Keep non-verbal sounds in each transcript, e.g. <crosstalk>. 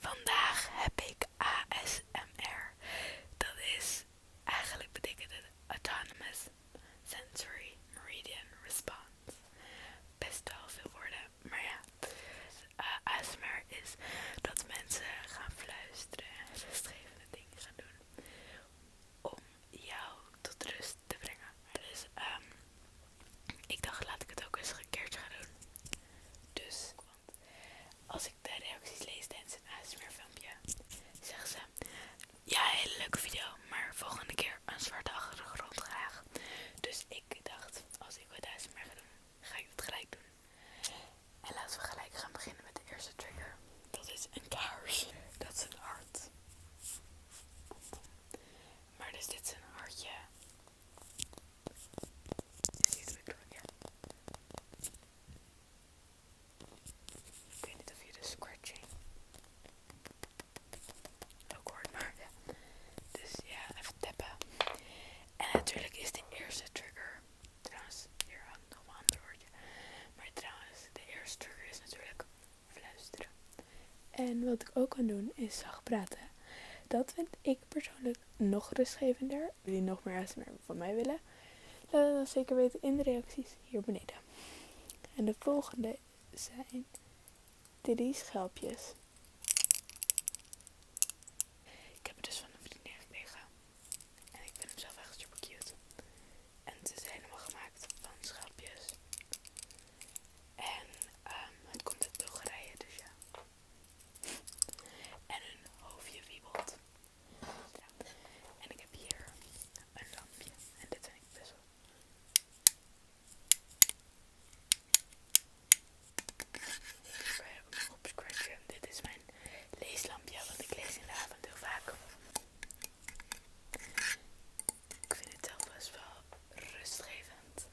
Vandaag heb ik ASMR. Dat is eigenlijk betekent het Autonomous Sensory Meridian Response. Best wel veel woorden, maar ja. Dus, eh, ASMR is dat mensen gaan fluisteren en rustgevende dingen gaan doen om jou tot rust te brengen. Dus um, ik dacht, laat ik het ook eens een gaan doen. Dus, want als ik de reacties lees tijdens een meer filmpje, zeggen ze, ja, hele leuke video, maar volgende keer een zwarte achtergrond graag. Dus ik dacht, als ik wat meer ga doen, ga ik dat gelijk doen. En laten we gelijk gaan beginnen met de eerste trigger. Dat is een kaars. Dat is een hart. Maar dus dit is een hartje is hier druk door? Ja. Ik weet niet of je de scratching ook hoort, maar ja. Dus ja, even tappen. En natuurlijk is de eerste trigger, trouwens, hier aan nog een ander woordje. Maar trouwens, de eerste trigger is natuurlijk fluisteren. En wat ik ook kan doen is zacht praten. Dat vind ik persoonlijk nog rustgevender. je nog meer ASMR van mij willen? Laat het dan zeker weten in de reacties hier beneden. En de volgende zijn drie schelpjes. Ik heb het dus van een vriend gekregen. En ik vind hem zelf echt super cute. En ze zijn helemaal gemaakt van schelpjes. En ehm, het komt uit Bulgarije, dus ja. <laughs> En een hoofdje wiebelt. En ik heb hier een lampje. En dit vind ik best wel kan op Dit is mijn leeslampje, want ik lees in de avond heel vaak. Ik vind het zelf best wel rustgevend.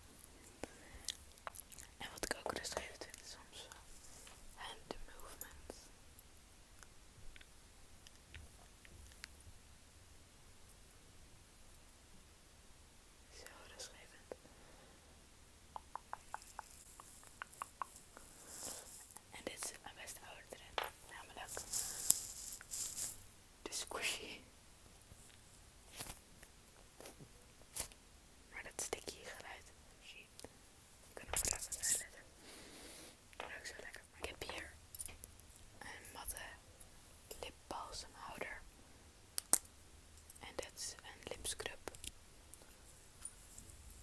En wat ik ook rustgevend vind is soms wel hand movements. Zo rustgevend. En dit zit mijn beste ouder namelijk de squishy. Maar dat sticky geluid, zie kunnen we laten uitletten. zo lekker. Ik heb hier een matte lipbalsemhouder. En dit is een lipscrub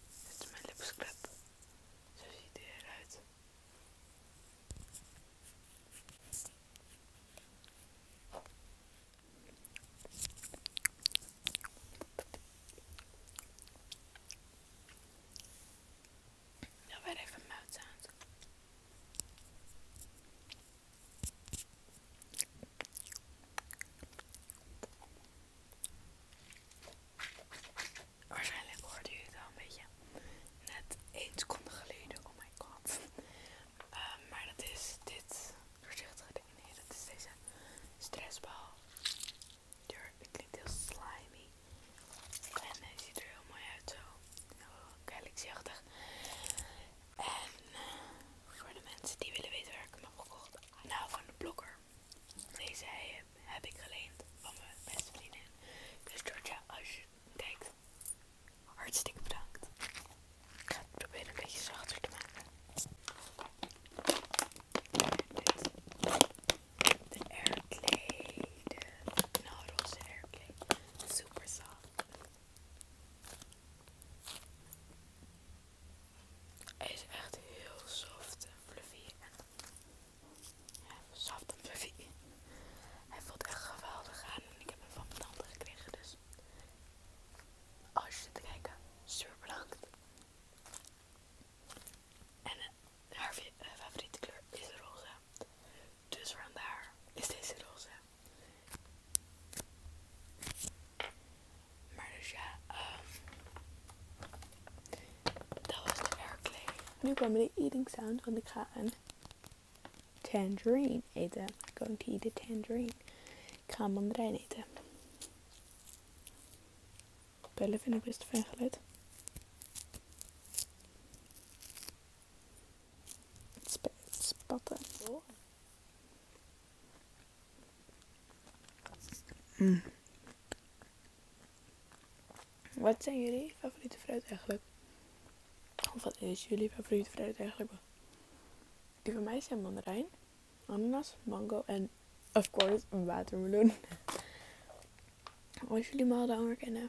dit is mijn lipsklep. Zo ziet hij eruit. Dan Waarschijnlijk hoorde je het al een beetje net 1 seconde geleden. Oh my god. Ehm, maar dat is dit voorzichtige ding. Nee, dat is deze stressbal. Het klinkt heel slimy. En hij ziet er heel mooi uit zo. Heel oh, En eh, voor de mensen die willen weten waar ik hem heb gekocht. Nou, van de blogger deze heb ik geleend van mijn beste vriendin. Dus Georgia, als je kijkt, hartstikke bedankt. Ik ga het proberen een beetje zachter te maken. Dit. De airplay, de knalroze airplay. Super soft. Hij is echt heel soft en fluffy. En ja, soft en fluffy. Hij voelt echt geweldig aan en ik heb hem van mijn tante gekregen. Dus als je zit te kijken, super bedankt. En eh, haar eh, favoriete kleur is roze. Dus vandaar is deze roze. Maar dus ja, um, dat was de airplay. Nu kwam de eating sound, want ik ga een tangerine eten. I'm going to eat a tangerine. Ik ga een mandarijn eten. Bellen vind ik best een fijn geluid. Sp spatten. Mm. Wat zijn jullie favoriete fruit eigenlijk? Of wat is jullie favoriete fruit eigenlijk? Die van mij zijn mandarijn, ananas, mango en of course een watermeloen. <laughs> Als jullie me dan herkennen,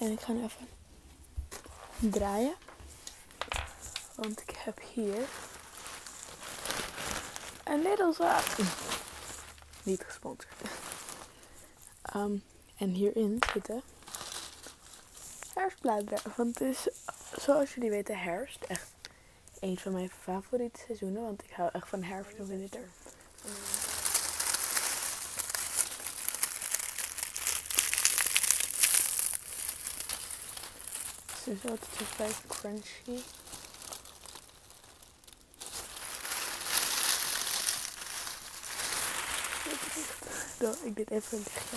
En ik ga even draaien. Want ik heb hier een middelzaak. Niet gesponsord. Ehm, en hierin zitten herfstbladeren, Want het is, zoals jullie weten, herfst. Echt een van mijn favoriete seizoenen. Want ik hou echt van herfst en winter. Het is altijd zo vrij crunchy. <laughs> nou, ik ben even een dichtje.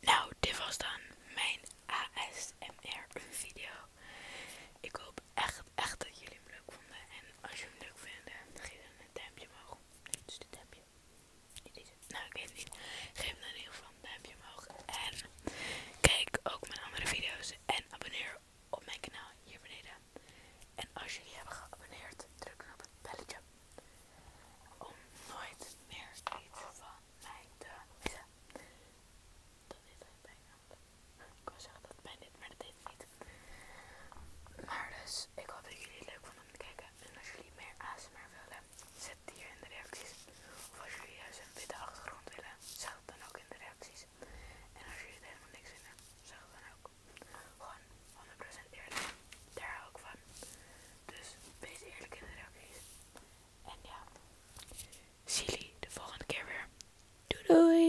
Nou, dit was dan mijn ASMR-video. Ik hoop echt, echt dat jullie hem leuk vonden. En als je hem leuk vinden, geef dan een duimpje omhoog. Dus dit duimpje. Nou, ik weet het niet. Geef me dan in ieder geval een duimpje omhoog. En kijk ook mijn andere video's. En abonneer op mijn kanaal hier beneden. En als jullie hebben geabonneerd, druk dan op het belletje. Om nooit meer iets van mij te missen. Dat deed bijna. Ik wou zeggen dat mij dit, maar dat deed niet. Maar dus, ik hoop dat jullie het leuk vonden om te kijken. En als jullie meer ASMR willen, zet die hier in de reacties. Of als jullie juist een witte achtergrond willen, zeg het dan ook in de reacties. En als jullie er helemaal niks vinden, zeg het dan ook. Gewoon 100% eerlijk. Daar hou ik van. Dus wees eerlijk in de reacties. En ja, zie jullie de volgende keer weer. Doei doei!